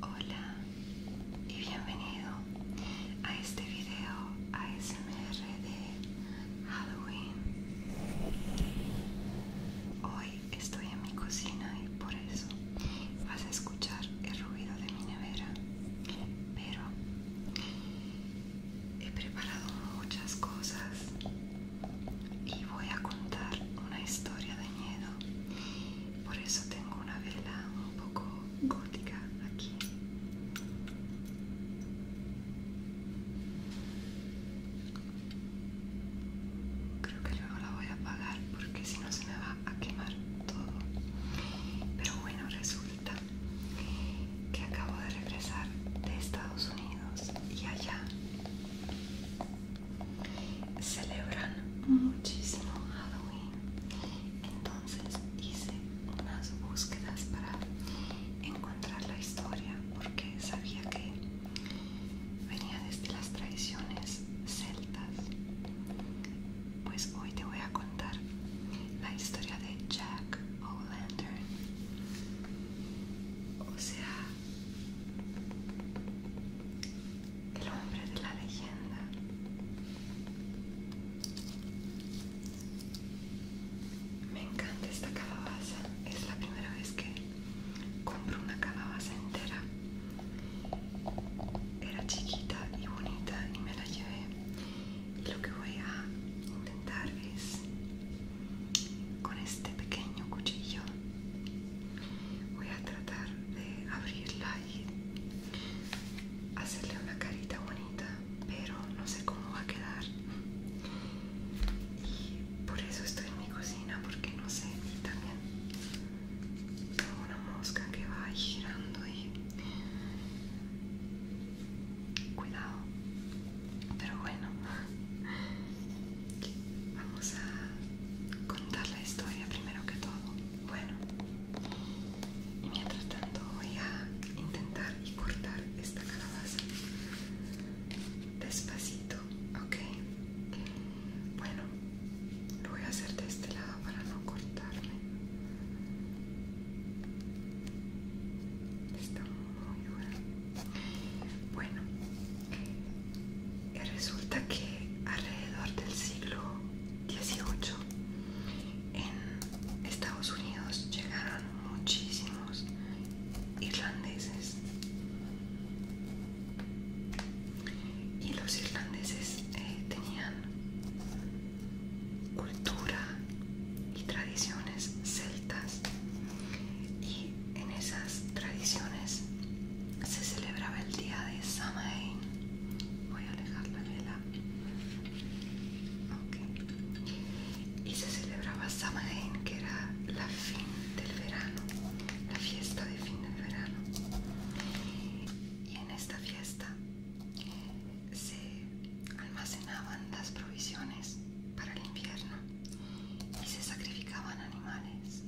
Hola y bienvenido a este video ASMR de Halloween. Hoy estoy en mi cocina y por eso vas a escuchar el ruido de mi nevera, pero he preparado muchas cosas y voy a contar una historia de miedo por eso tengo una vela un poco gótica aquí. Creo que luego la voy a apagar porque si no se me va a quemar todo. Pero bueno, resulta que acabo de regresar de Estados Unidos y allá celebran muchísimo Halloween. Entonces hice unas búsquedas para encontrar la historia porque sabía que venía desde las tradiciones celtas. Pues hoy te voy a contar la historia de Jack O'Lantern. O sea, el hombre de la leyenda. Me encanta esta calabaza. Es la primera vez que compro una calabaza entera. Era chiquita y bonita y me la llevé. Y lo que voy a intentar es con este pequeño cuchillo voy a tratar de abrirla y hacerle una carita bonita pero no sé cómo va a quedar y por eso estoy en mi cocina porque no sé y también tengo una mosca que va girando y cuidado pero bueno Vamos a contar la historia primero que todo. Bueno, mientras tanto voy a intentar y cortar esta calabaza despacito, ¿ok? Bueno, lo voy a hacer de este lado para no cortarme. Está muy bueno. Bueno, resulta que alrededor del siglo XVIII en Estados Unidos llegaron muchísimos irlandeses. Y los irlandeses eh, tenían cultura y tradiciones celtas y en esas tradiciones se celebraba el día de Samhain Voy a alejar la vela. Y se celebraba Samhain que era la fin del verano, la fiesta de fin del verano. Y en esta fiesta eh, se almacenaban las provisiones para el invierno y se sacrificaban animales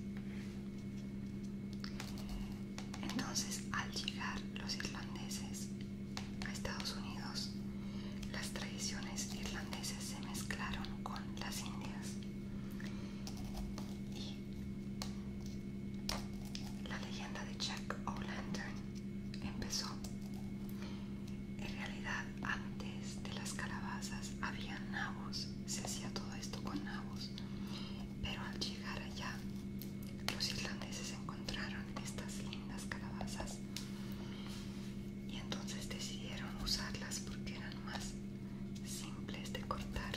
entonces, al llegar los irlandeses a Estados Unidos, las tradiciones irlandesas se mezclaron con las indias y la leyenda de Jack O'Lantern empezó. En realidad, antes de las calabazas había nabos, se hacía todo esto con nabos. Pero al llegar allá, los irlandeses encontraron estas lindas calabazas y entonces decidieron usarlas porque eran más simples de cortar.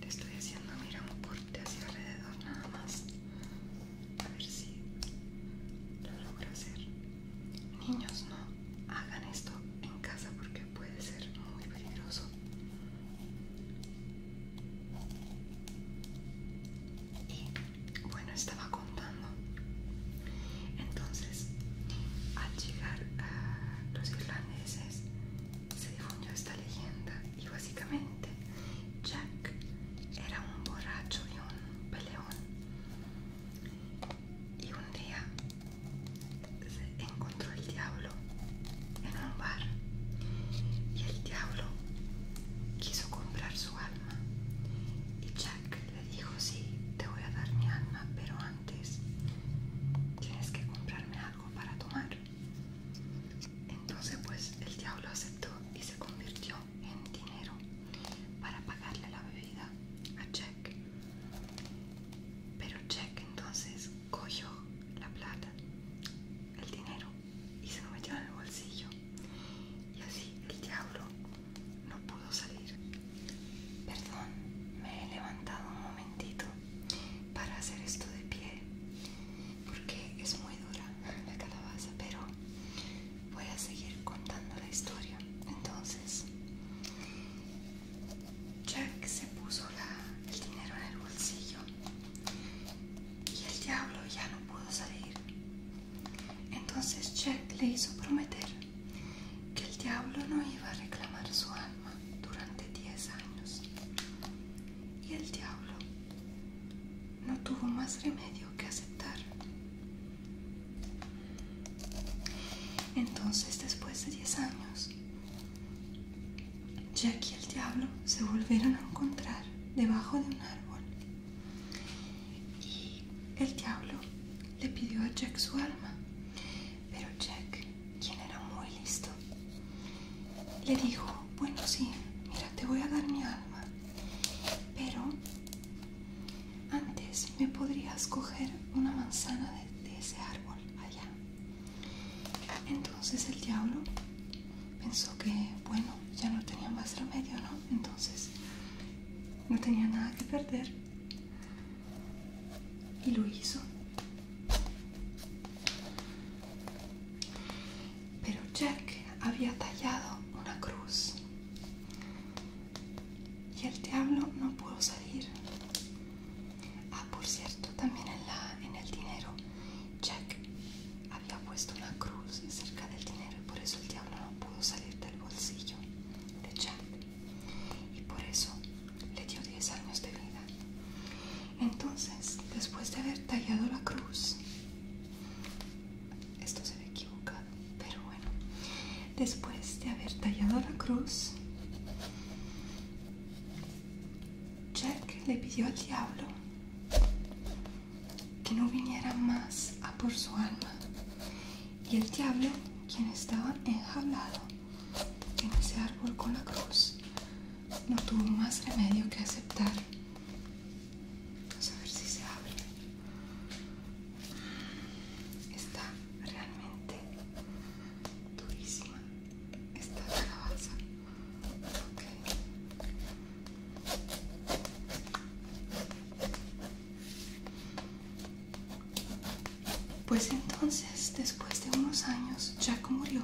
te estoy haciendo, mira, un corte hacia alrededor nada más. A ver si lo logro hacer. Niños, no hagan esto en casa porque puede ser muy peligroso. Y bueno, estaba contando. Entonces, al llegar a los irlandeses, se difundió esta leyenda y básicamente Jack era un borracho y un peleón y un día se encontró el diablo en un bar y el diablo quiso comprar su alma y Jack le dijo sí, te voy a dar mi alma pero antes tienes que comprarme algo para tomar entonces pues el diablo aceptó y se convirtió en dinero para pagarle la bebida a Jack. Pero Jack entonces cogió la plata, el dinero y se lo metió en el bolsillo. Y así el diablo no pudo salir. Perdón, me he levantado un momentito para hacer esto de pie porque es muy dura la calabaza, pero voy a seguir contando la historia. Entonces, Jack se puso el dinero en el bolsillo y el diablo ya no pudo salir. Entonces Jack le hizo prometer que el diablo no iba a reclamar su alma durante 10 años. Y el diablo no tuvo más remedio que aceptar. Entonces, después de 10 años, Jack y el diablo se volvieron a encontrar debajo de un árbol. Y el diablo le pidió a Jack su alma. Pero Jack, quien era muy listo, le dijo, bueno sí, mira, te voy a dar mi alma. Pero antes me podrías coger una manzana de, ese árbol allá. Entonces el diablo pensó que, bueno, ya no tenía más remedio, ¿no? Entonces no tenía nada que perder y lo hizo. Pero Jack había tallado una cruz y el diablo no pudo salir. Ah, por cierto, también en, en el dinero, Jack había puesto una cruz cerca del dinero y por eso el diablo no pudo salir del bolsillo de Jack. Y por eso le dio 10 años de vida. Entonces, después de haber tallado la cruz, esto se ve equivocado pero bueno después de haber tallado la cruz Jack le pidió al diablo que no viniera más a por su alma y el diablo quien estaba enjaulado en ese árbol con la cruz no tuvo más remedio que aceptar Vamos a ver si se abre. Está realmente durísima esta calabaza. Okay. Pues entonces, después de unos años, Jack murió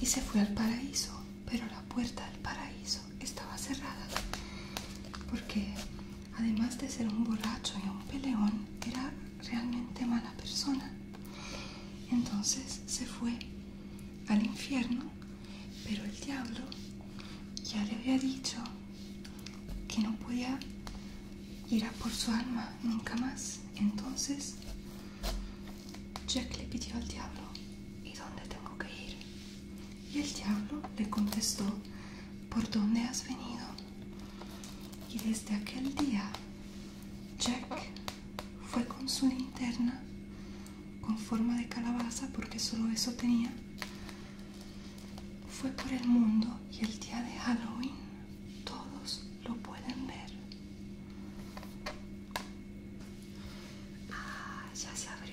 y se fue al paraíso, pero la puerta del paraíso estaba cerrada porque además de ser un borracho y un peleón era realmente mala persona entonces se fue al infierno pero el diablo ya le había dicho que no podía ir a por su alma nunca más entonces Jack le pidió al diablo ¿y dónde tengo que ir? Y el diablo le contestó, ¿por dónde has venido? Y desde aquel día, Jack fue con su linterna con forma de calabaza, porque solo eso tenía. Fue por el mundo y el día de Halloween todos lo pueden ver. Ah, ya se abrió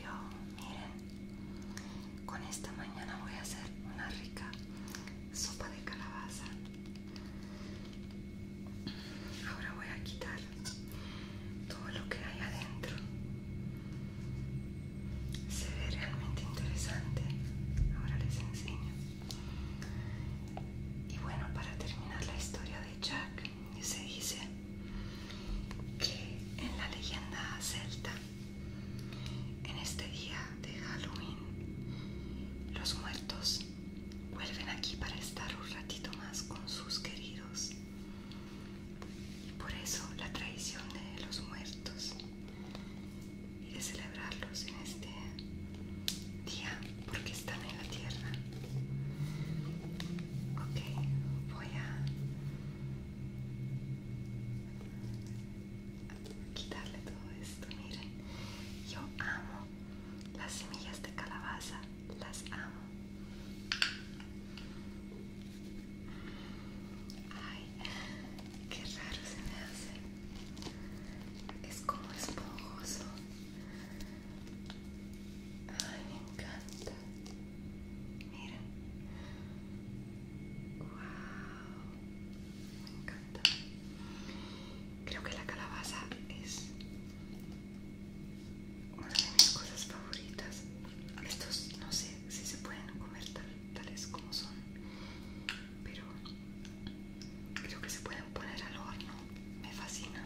miren con esta mañana voy a hacer una rica sopa de calabaza ahora voy a quitar todo lo que hay adentro se ve realmente interesante ahora les enseño y bueno para terminar la historia de Jack se dice que en la leyenda celta, en este día de Halloween, los muertos vuelven aquí para estar un ratito más con sus queridos. y Por eso la tradición de los muertos y de celebrarlos en este día porque están en la tierra Ok, voy a quitarle todo esto. Miren, yo amo las semillas de calabaza, las amo. Ay, qué raro se me hace. Es como esponjoso. Ay, me encanta. Miren, Wow. Me encanta. Creo que la calabaza es una de mis cosas favoritas. Estos no sé si se pueden comer tal, tales como son, pero creo que se pueden poner al horno. Me fascina.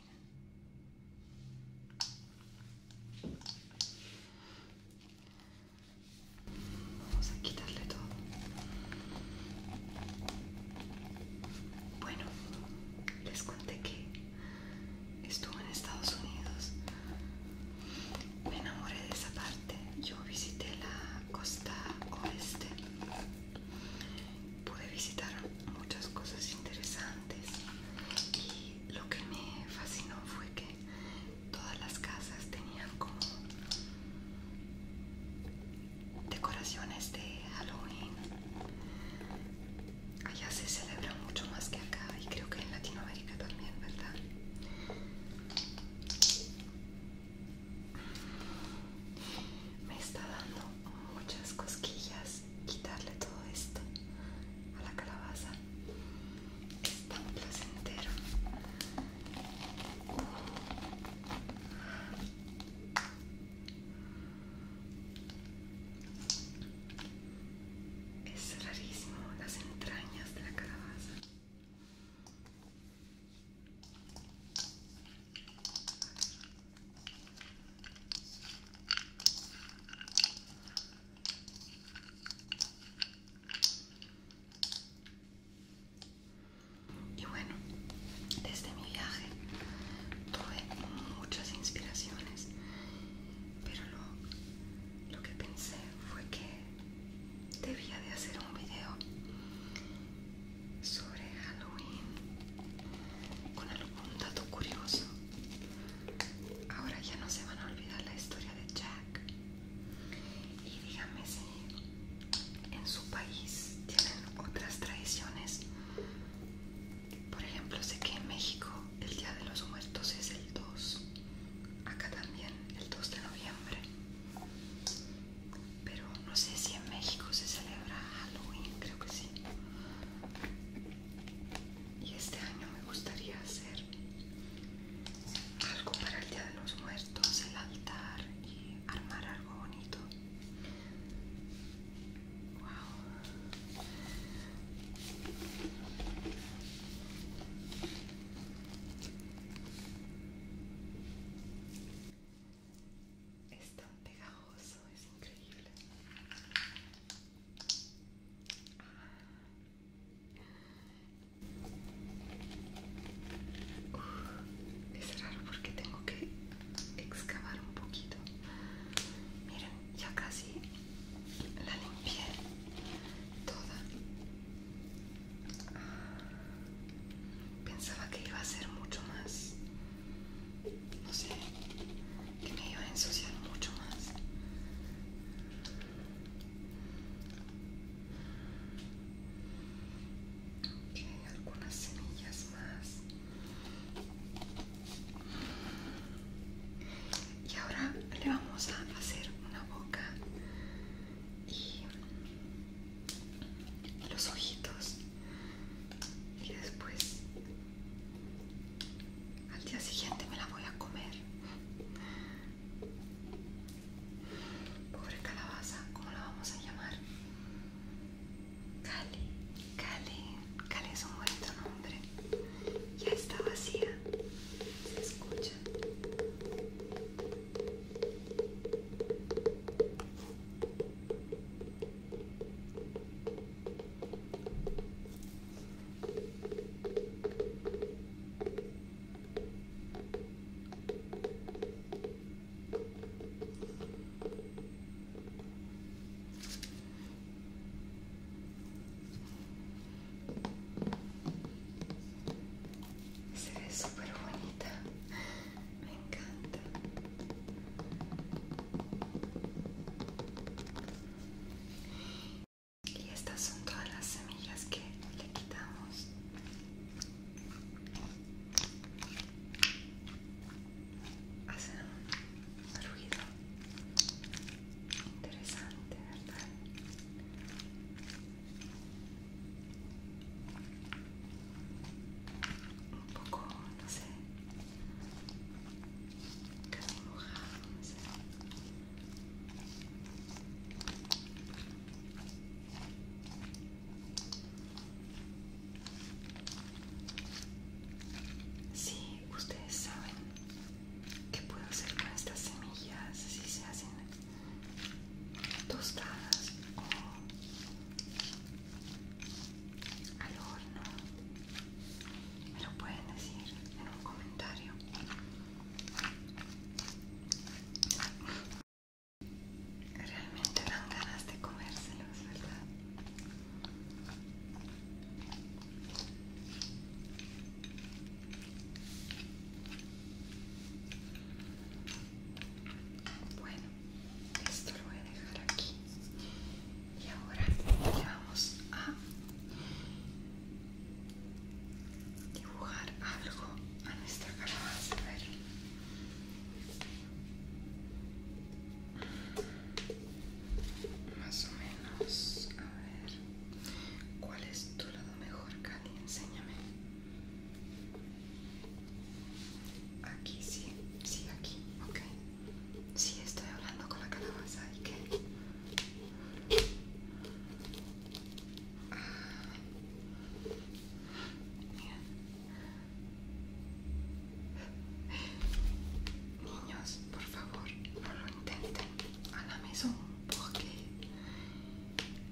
Vamos a quitarle todo. Bueno, les conté que estuve en Estados Unidos. Me enamoré de esa parte. Yo visité la costa oeste. Pude visitar muchas cosas interesantes y lo que me fascinó fue que todas las casas tenían como decoraciones de Halloween. Allá se celebra mucho más que acá y creo que en Latinoamérica también, ¿verdad? Me está dando muchas cosquillas quitarle todo esto a la calabaza Está es tan placentero es rarísimo las entrañas de la calabaza y bueno, desde mi viaje tuve muchas inspiraciones, pero lo, que pensé fue que debía de hacer un video sobre Halloween con algún dato curioso. Ahora ya no se van a olvidar la historia de Jack. Y díganme si en su país tienen otras tradiciones. Por ejemplo, sé que en México el Día de los Muertos es el 2. Acá también el 2 de noviembre. Pero no sé si en México se celebra Halloween, creo que sí y este año me gustaría hacer algo para el Día de los Muertos, el altar y armar algo bonito. Es tan pegajoso, es increíble. es raro porque tengo que excavar un poquito. Miren, ya casi la limpié toda. Pensaba que iba a ser mucho más no sé, que me iba a ensuciar mucho más. Ok, algunas semillas más. Y ahora le vamos a hacer una boca y los ojitos y después al día siguiente me la voy a comer. Pobre calabaza, ¿cómo la vamos a llamar? Cali, Cali, Cali es un bonito nombre. Ya está vacía, se escucha. Se ve súper bonita me encanta y estas son todas las semillas que le quitamos hacen un ruido interesante verdad un poco, no sé, casi mojado, no sé. Sí, ustedes saben que puedo hacer con estas semillas si se hacen tostadas o al horno me lo pueden decir en un comentario realmente dan ganas de comérselos verdad bueno esto lo voy a dejar aquí y ahora le vamos a dibujar algo a nuestra calabaza a ver más o menos a ver cuál es tu lado mejor Cali enséñame Aquí sí, sí, aquí, ok. Sí, estoy hablando con la calabaza y qué. Niños, por favor, no lo intenten a la mesa, porque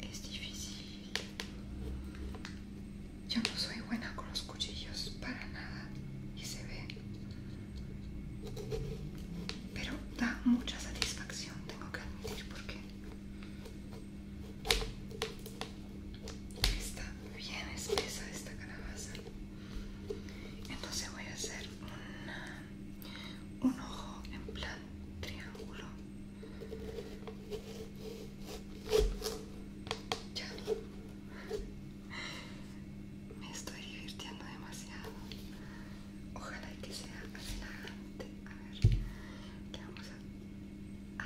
es difícil yo no soy buena con los cuchillos para nada y se ve. Pero da mucha satisfacción, tengo que admitir, porque está bien espesa esta calabaza. Entonces voy a hacer un ojo en plan triángulo me estoy divirtiendo demasiado. Ojalá que sea adelante. A ver, ¿qué vamos a...?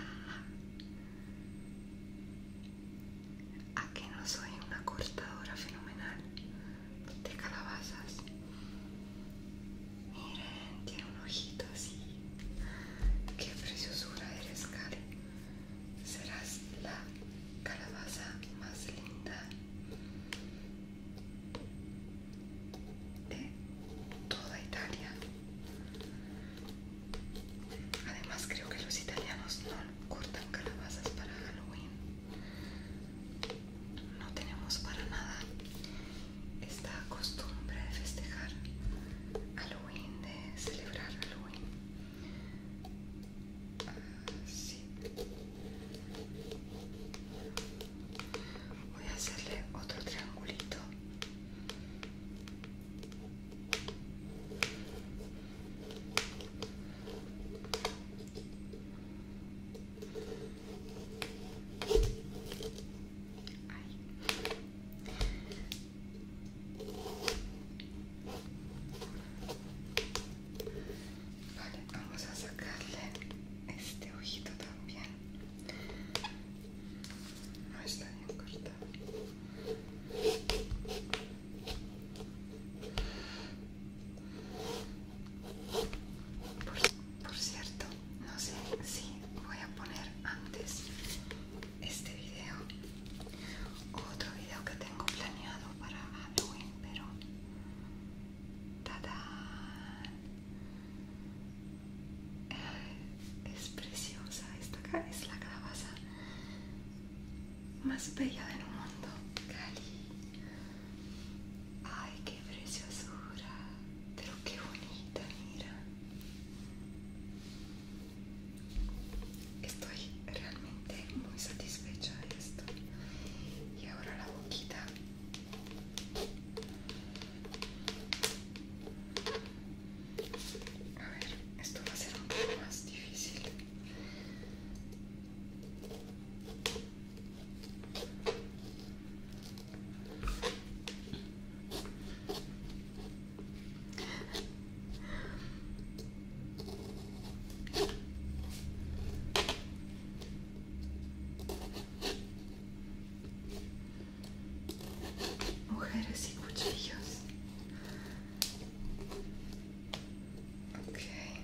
¿A que no soy una cortadora fenomenal de calabazas? Miren, tiene un ojito así. Qué preciosura eres, Cali. Serás la calabaza más linda de toda Italia. Además, creo que los italianos no cortan calabazas para Halloween. No tenemos para nada esta costumbre de festejar Halloween, de celebrar Halloween. Ah, Voy a hacerle otro triangulito. Ahí. Vale, vamos a sacarle este ojito también. No está bien cortado. por cierto, no sé si voy a poner antes este video otro video que tengo planeado para Halloween, pero tada, eh, Es preciosa, esta es la calabaza más bella del mundo, Cali. Ay, qué preciosura qué bonita, mira. Estoy realmente muy satisfecha de esto. Y ahora la boquita. A ver, esto va a ser un poco más difícil. Mujeres y cuchillos. Okay.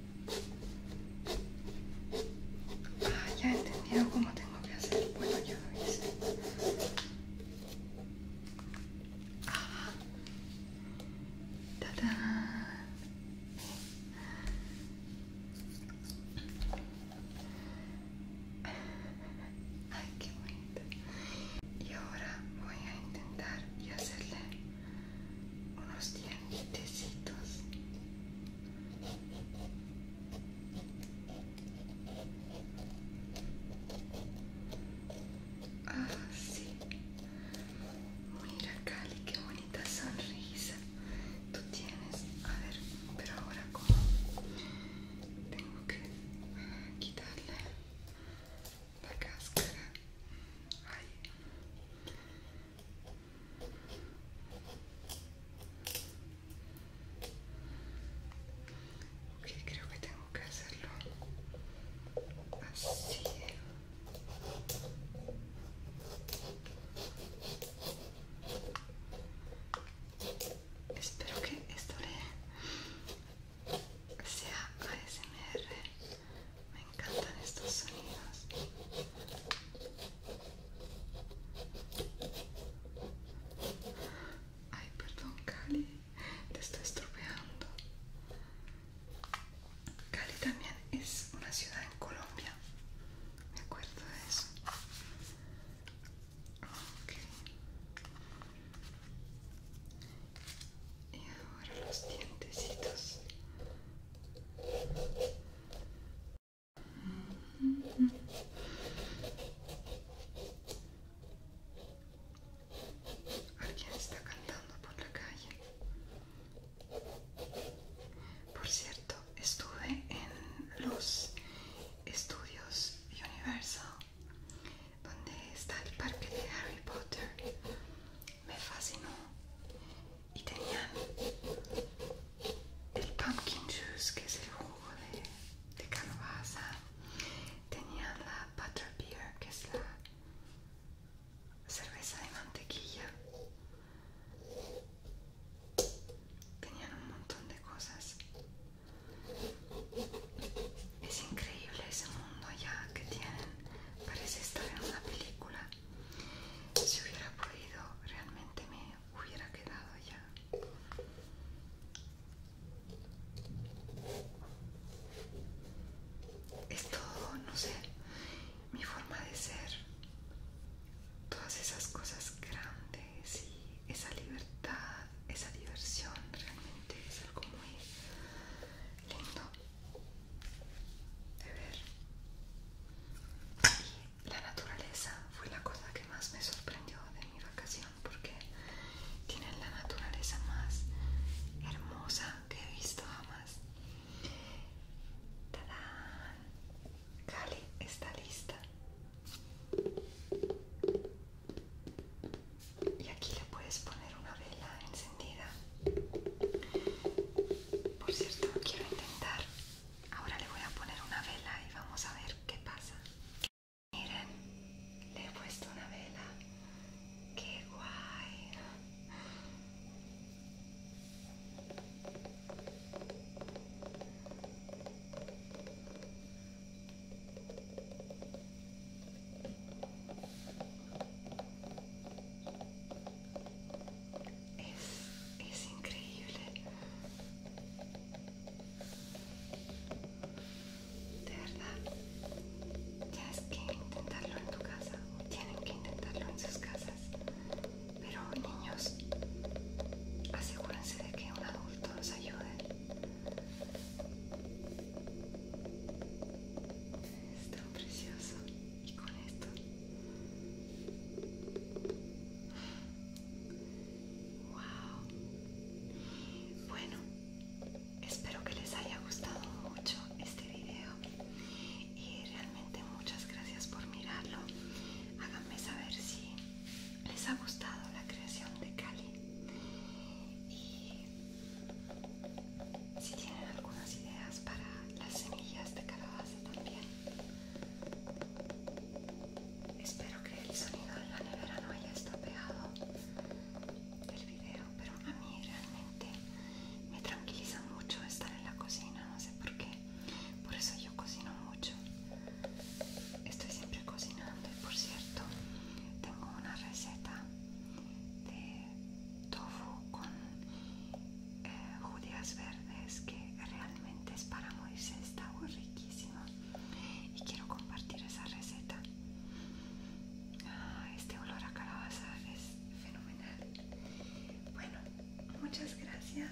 Ah, ya he entendido cómo tengo que hacer. Bueno, yo lo hice. Ah. da Ay, qué bonito Y ahora voy a intentar y hacerle unos dientecitos. Ah, sí. Mira, Cali, qué bonita sonrisa tú tienes. A ver, pero ahora como tengo que quitarle la cáscara. Ay. Ok, creo que tengo que hacerlo así. Espero que esto sea ASMR me encantan estos sonidos. Ay, perdón, Cali, te estoy estropeando. Cali también es una ciudad en Colombia. Me acuerdo de eso. Ok. Y ahora los dientecitos. Alguien está cantando por la calle. Por cierto, estuve en los estudios Universal, donde está el parque de Harry Potter me fascinó y tenían el pumpkin juice que es el jugo de, calabaza tenían la butter beer, que es la cerveza de mantequilla tenían un montón de cosas es increíble ese mundo ya que tienen parece estar en una película si hubiera podido, realmente me hubiera quedado ya. Es todo, no sé, mi forma de ser, todas esas cosas grandes y esa libertad, esa diversión, realmente es algo muy lindo de ver. la naturaleza fue la cosa que más me sorprendió de mi vacación porque tienen la naturaleza más hermosa que he visto jamás. Cali está lista. Y aquí le puedes poner una vela encima por cierto, quiero intentar. Ahora le voy a poner una vela y vamos a ver qué pasa. Miren, le he puesto una vela. ¡Qué guay! es, es increíble de verdad tienes que intentarlo en tu casa tienen que intentarlo en sus casas pero niños asegúrense de que un adulto nos ayude es tan precioso y con esto wow bueno espero que les haya gustado mucho este video y realmente muchas gracias por mirarlo háganme saber si les ha gustado la creación de Cali si tienen algunas ideas para las semillas de calabaza también. Espero que el sonido de la nevera no haya estropeado el video, pero a mí realmente me tranquiliza mucho estar en la cocina, no sé por qué. Por eso yo cocino mucho. Estoy siempre cocinando y por cierto, tengo una receta de tofu con eh, judías verdes que realmente es para Moisés, está riquísimo y quiero compartir esa receta. Ah, este olor a calabaza es fenomenal. Bueno, muchas gracias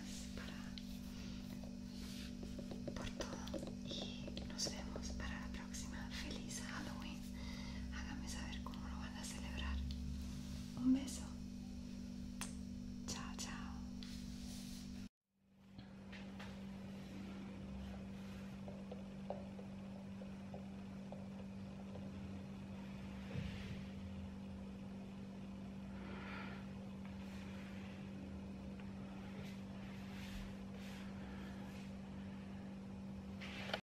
por todo y nos vemos para la próxima. Feliz Halloween. Hágame saber cómo lo van a celebrar. Un beso. Chao, chao.